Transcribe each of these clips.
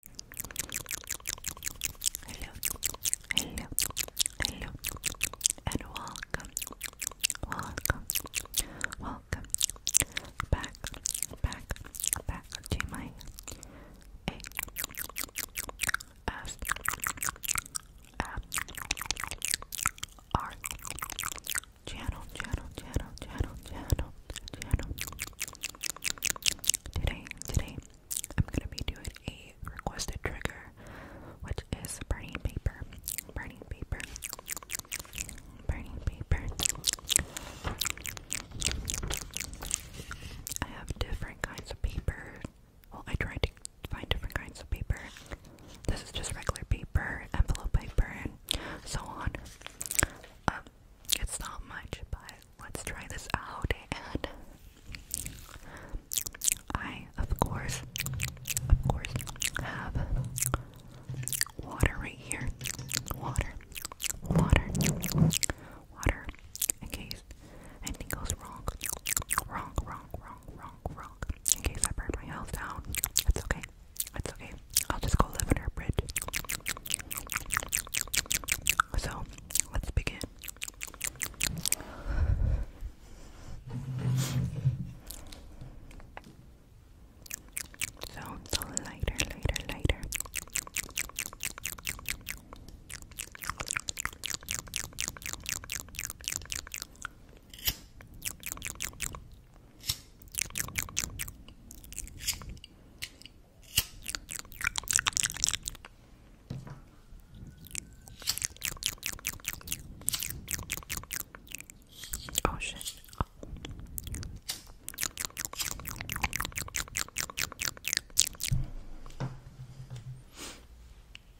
Hello, hello, hello, and welcome, welcome, welcome back, back, back to my A S F R channel, channel, channel, channel, channel, channel. Today, today, I'm gonna be doing a requested trigger, which is burning paper, burning paper, burning paper. I have different kinds of paper. Well, I tried to find different kinds of paper. This is just regular paper, envelope paper, and so on. Um, it's not much, but let's try this out. And I, of course, of course, have water right here. Water, water, water. In case anything goes wrong, wrong, wrong, wrong, wrong, wrong. In case I burn my house down, it's okay. It's okay. I'll just go live under a bridge. So let's begin. So, lighter, lighter, lighter. Oh shit.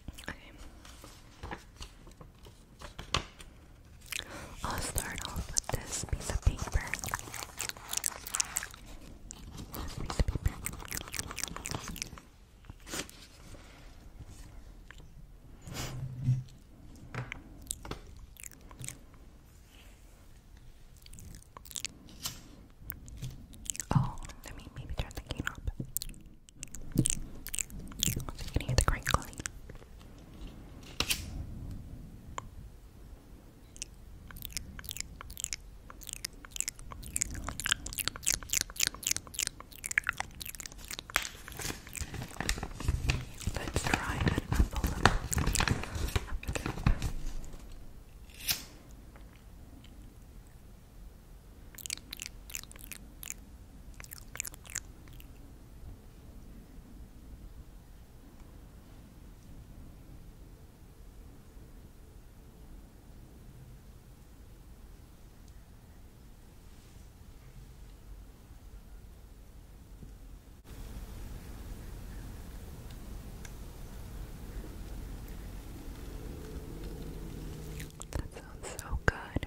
Okay. I'll start off with this piece of paper. Oh, let me maybe turn the cane up. you can hear the crinkling. Let's try an apple. apple. Mm. That sounds so good.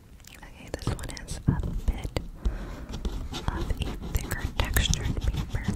Okay, this one is a bit of a thicker textured paper.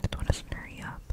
This one doesn't hurry up.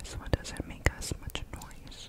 This one doesn't make as much noise.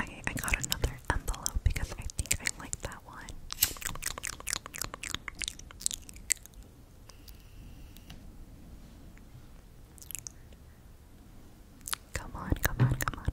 Okay, I got another envelope because I think I like that one. Come on, come on, come on.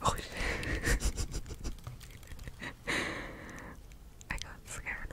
Oh. I got scared.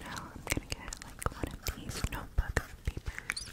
Now I'm gonna get like one of these notebook papers.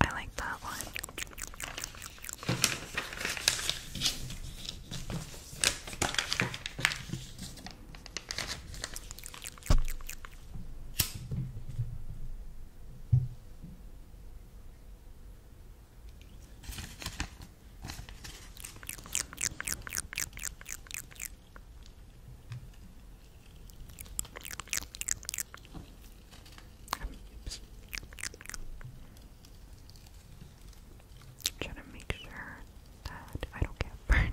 I like that one. I'm trying to make sure that I don't get burned.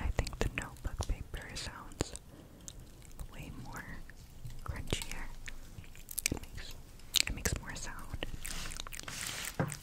I think the notebook paper sounds way more crunchier. It makes it makes more sound.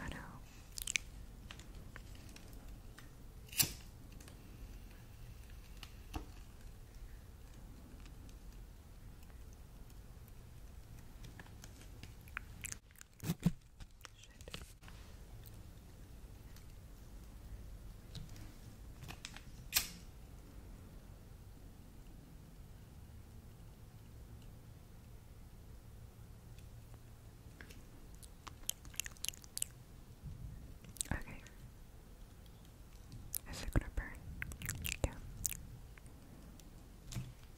I know. Shit. Okay. Is it burn? Yeah.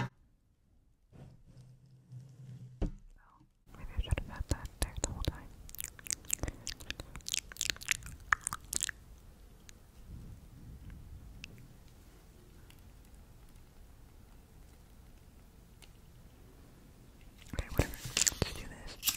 Oh, maybe I should have had that there the whole time. Okay, whatever. Let's do this.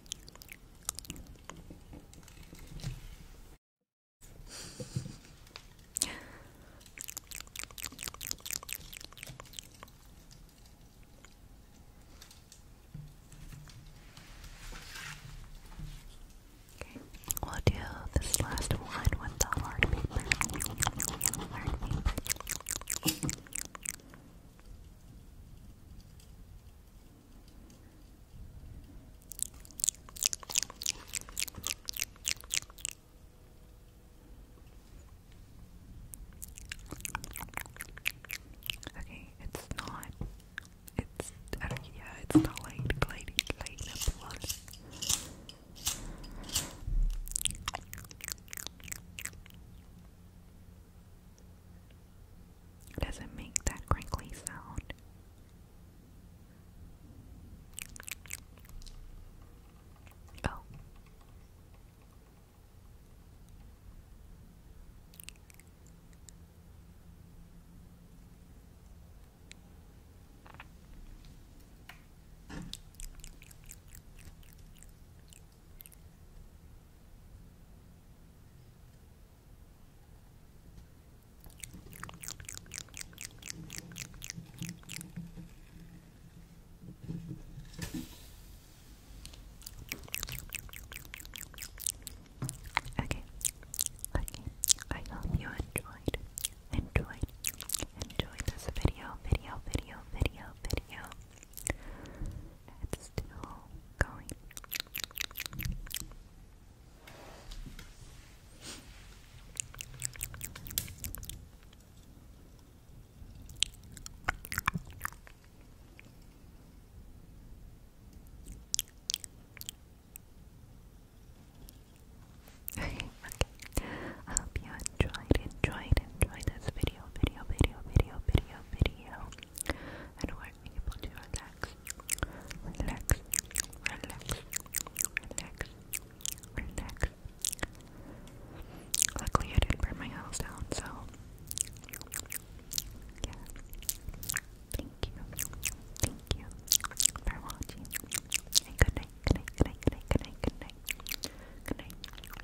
Okay, we'll do this last one with the Hard paper. Okay, it's not. It's uh, yeah, it's not light, gliding, lighting up a does it make that crinkly sound? Oh. Okay, okay, I hope you enjoyed, enjoyed, enjoyed this video, video, video, video, video. It's still going. okay. I hope you enjoyed, enjoyed, enjoyed this video video, video, video, video, video, And we're able to relax, relax, relax, relax, relax. Luckily, I didn't burn my house down, so Thank you, thank you for watching. good night, good night, good night, good night, good night, good night, good night.